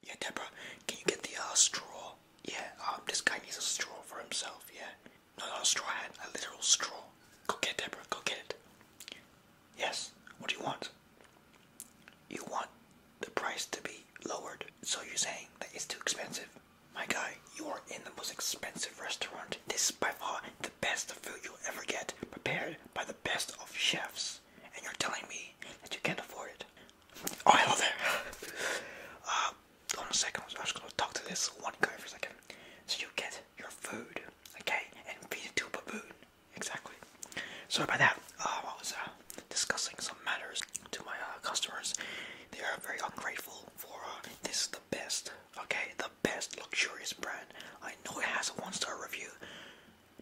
Yeah, Deborah, can you get the uh, straw? Yeah, um, this guy needs a straw for himself, yeah. No, not a straw hat, a literal straw. Go get it, Deborah, go get it. Yes, what do you want? You want the price to be lowered, so you're saying that it's too expensive? My guy, you are in the most expensive restaurant. This is by far the best food you'll ever get, prepared by the best of chefs and you're telling me that you can't afford it. Oh, hello there. uh, hold on a second, I was gonna talk to this one guy for a second. So you get your food, okay, and feed it to a baboon. Exactly. Sorry about that. Uh, I was uh, discussing some matters to my uh, customers. They are very ungrateful for uh, this is the best, okay, the best luxurious brand. I know it has a one-star review,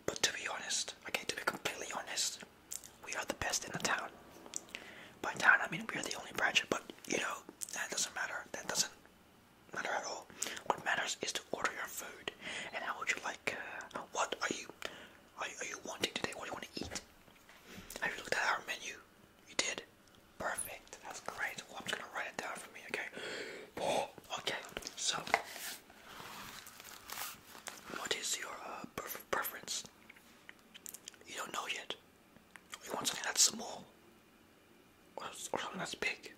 but to be honest, okay, to be completely honest, we are the best in the town. By town, I mean we're the only branch, but you know, that doesn't matter. That doesn't matter at all. What matters is to order your food. And how would you like, uh, what are you, are you, are you wanting today? What do you want to eat? Have you looked at our menu? You did? Perfect. That's great. Well, I'm just gonna write it down for me, okay? okay, so what is your uh, preference? You don't know yet. You want something that's small, or, something that's big.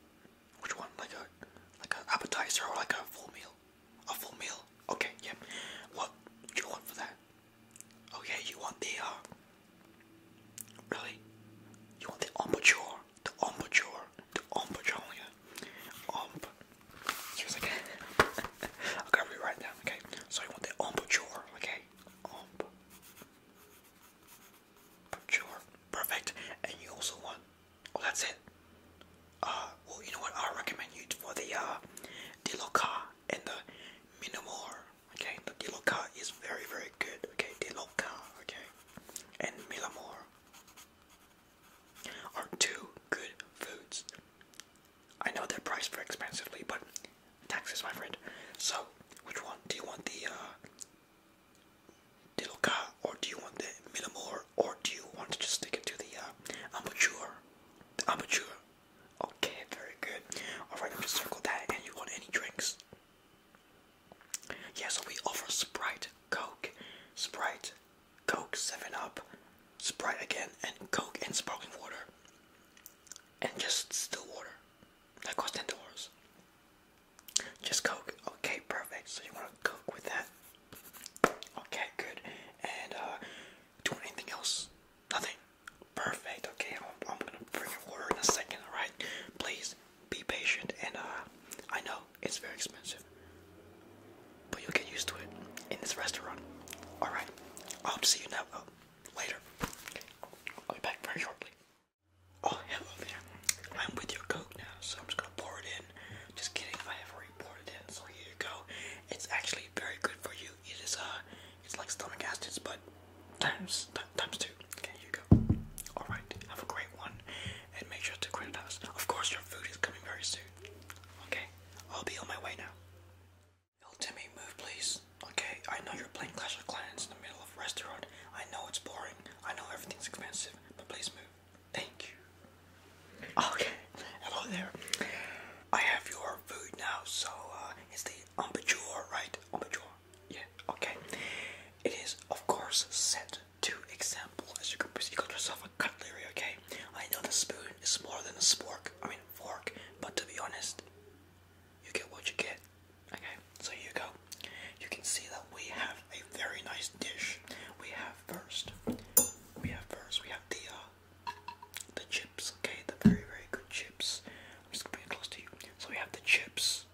Which one? Like a like an appetizer or like a full meal? A full meal. Okay. Yeah. What do you want for that? Okay. You want the uh, Really? You want the embouchure? The embouchure. Omp Jolly. Omp. She I gotta rewrite that, okay? So you want the Omp okay? Omp. Chore. Perfect. And you also want, oh, that's it. Uh, well, you know what? I recommend you for the uh, Diloka and the Minamore. Okay, the Diloka is very, very good. Okay, Diloka. Okay, and Milamore are two good foods. I know they're priced very expensively, but taxes, my friend. So, which one? Do you want the uh, Diloka, or do you want the Millamore, or do you want to just stick it to the uh, Amateur? The Amateur. Okay, very good. Alright, I'm just to that, and you want any drinks? Yeah, so we offer Sprite, Coke, Sprite, Coke, 7-Up, Sprite again, and Coke and sparkling water. And just still water. That costs $10. Just Coke. Okay, perfect. So you want to Coke with that? Okay, good. And, uh, do anything else? Nothing. Perfect. Okay, I'm, gonna bring your water in a second, alright? Please be patient and uh, I know it's very expensive, but you'll get used to it in this restaurant. All right, I hope to see you now uh, later. I'll be back very shortly. Oh hello there. I'm with your coke now, so I'm just gonna pour it in. Just kidding, I have already poured it in. So here you go. It's actually very good for you. It is uh, it's like stomach acids, but times times two. Okay, you go. All right, have a great one, and make sure to credit us. Of course, your food is coming very soon. Okay, I'll be on my way now. Yo, Timmy, move please. Okay, I know you're playing Clash of Clans in the middle of a restaurant. I know it's boring. I know everything's expensive, but please move. Thank you. Okay, hello there. I have your food now, so uh, it's the ambajur, right? Ambajur. Yeah, okay. It is, of course, set to example, as you can equal to yourself a cutlery, okay? I know the spoon is more than a spork, I mean fork, but to be honest, you get what you get. Okay, so here you go. You can see that we have a very nice dish. We have first, we have first, we have the, uh, the chips, okay? The very, very good chips. I'm just gonna bring close to you. So we have the chips,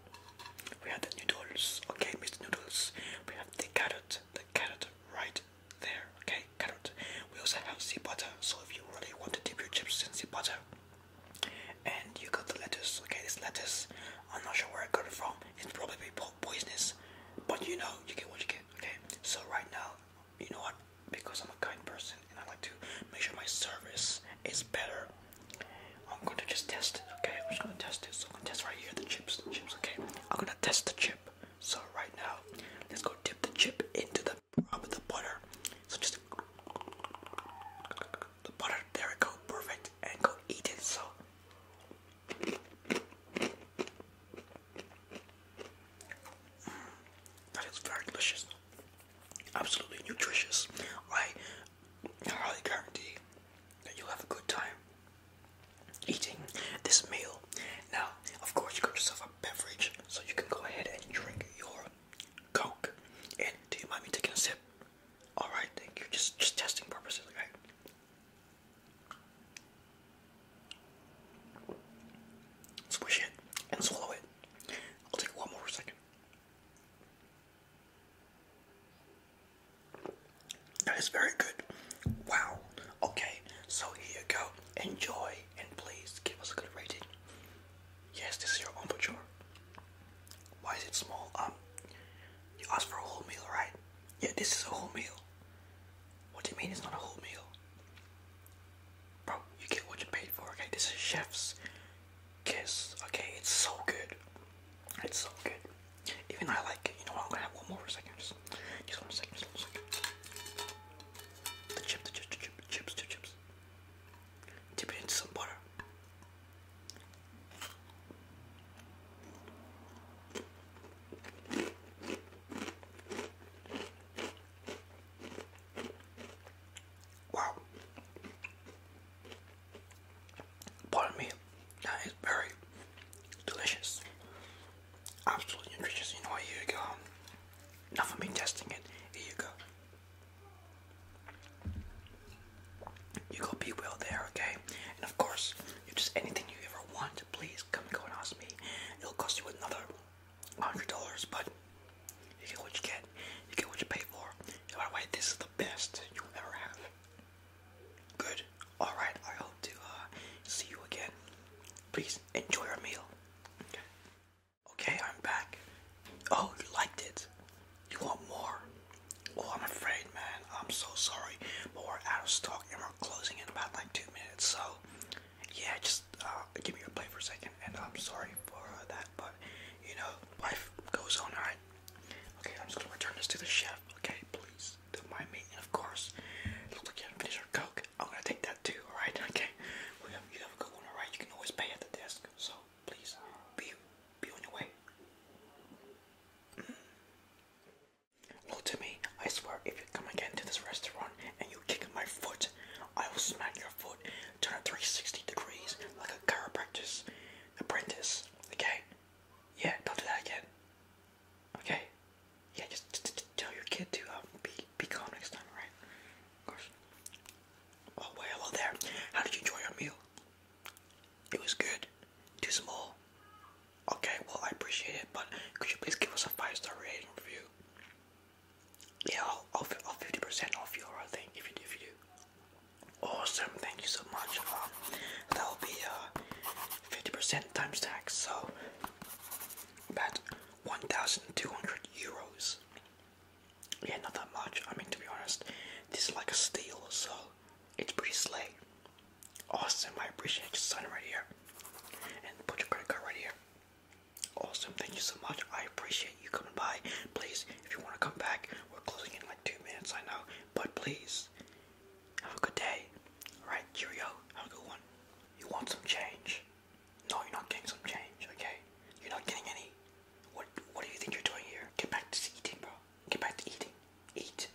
we have the noodles, okay, Mr. Noodles. We have the carrot, the carrot right there, okay? Carrot. We also have sea butter, so if you really want to dip your chips in sea butter, and you got the lettuce, okay? This lettuce, I'm not sure where I got it from. It's probably poisonous, but you know, you get what you get, okay? So right now, you know what? Because I'm a kind person and I like to make sure my service is better. I'm going to just test it, okay? I'm just going to test it. So I'm going to test right here the chips, the chips, okay? I'm going to test the chip. So right now, let's go dip the chip into the the butter. So just the butter. There we go. Perfect. And go eat it. So. That is very delicious absolutely nutritious. I highly guarantee that you'll have a good time eating this meal. Now, of course, you got yourself a beverage, so you can go ahead and drink your Coke. And do you mind me taking a sip? All right, thank you. Just, just testing purposes, okay? Squish it and swallow it. I'll take one more second. That is very good. Wow. Okay, so here you go. Enjoy and please give us a good rating. Yes, this is your ambature. Why is it small? Um, you asked for a whole meal, right? Yeah, this is a whole meal. What do you mean it's not a whole meal? Bro, you get what you paid for, okay? This is chef's kiss, okay? It's so good. It's so good. Even I like it. You know what? I'm gonna have one more for a second. Just, just one second, just one second. The chip, the chip, the chip, chips, chips. Dip it into some butter. Wow. Pardon me. That is very delicious. Absolutely nutritious. You know Here you go. Enough of me testing it. Here you go. You go be well there, okay? And of course, you just anything you ever want, please come go and ask me. It'll cost you another hundred dollars, but you get what you get. You get what you pay for. And by the way, this is the best you'll ever have. Good. All right. I hope to uh, see you again. Please enjoy your meal. Okay. Okay, I'm back. Oh, you liked it. You want more? Oh, I'm afraid man. I'm so sorry, but we're out of stock and we're closing in about like two minutes. So, yeah, just uh, give me your plate for a second. And I'm sorry for that, but you know, life goes on, alright? Okay, I'm just gonna return this to the chef, okay? Please don't mind me. And of course, looks like you haven't finished your coke. I'm gonna take that too, alright? Okay, well, you, have, you have a good one, alright? You can always pay at the desk, so please uh, be, be on your way. Mm. Look to me, I swear if you come again to this restaurant and you kick my foot, I will smack your foot, turn it 360 degrees like a chiropractor's apprentice, okay? Yeah, don't do that again. Okay? Yeah, just, tell your kid to um, be, be calm next time, right? Of course. Oh, hello there. How did you enjoy your meal? It was good. Too small. Okay, well I appreciate it, but could you please give us a five star rating review? Yeah, I'll I'll fifty percent off your thing if you do Awesome, thank you so much. Um, that'll be uh, fifty percent times tax, so about one thousand two hundred euros. Yeah, not that much. I mean to be honest, this is like a steal, so it's pretty slay. Awesome, I appreciate you signing right here. And put your credit card right here. Awesome, thank you so much. I appreciate you coming by. Please, if you want to come back, we're closing in like two minutes, I know. But please, have a good day. Alright, cheerio, have a good one. You want some change? No, you're not getting some change, okay? You're not getting any. What What do you think you're doing here? Get back to eating, bro. Get back to eating. Eat.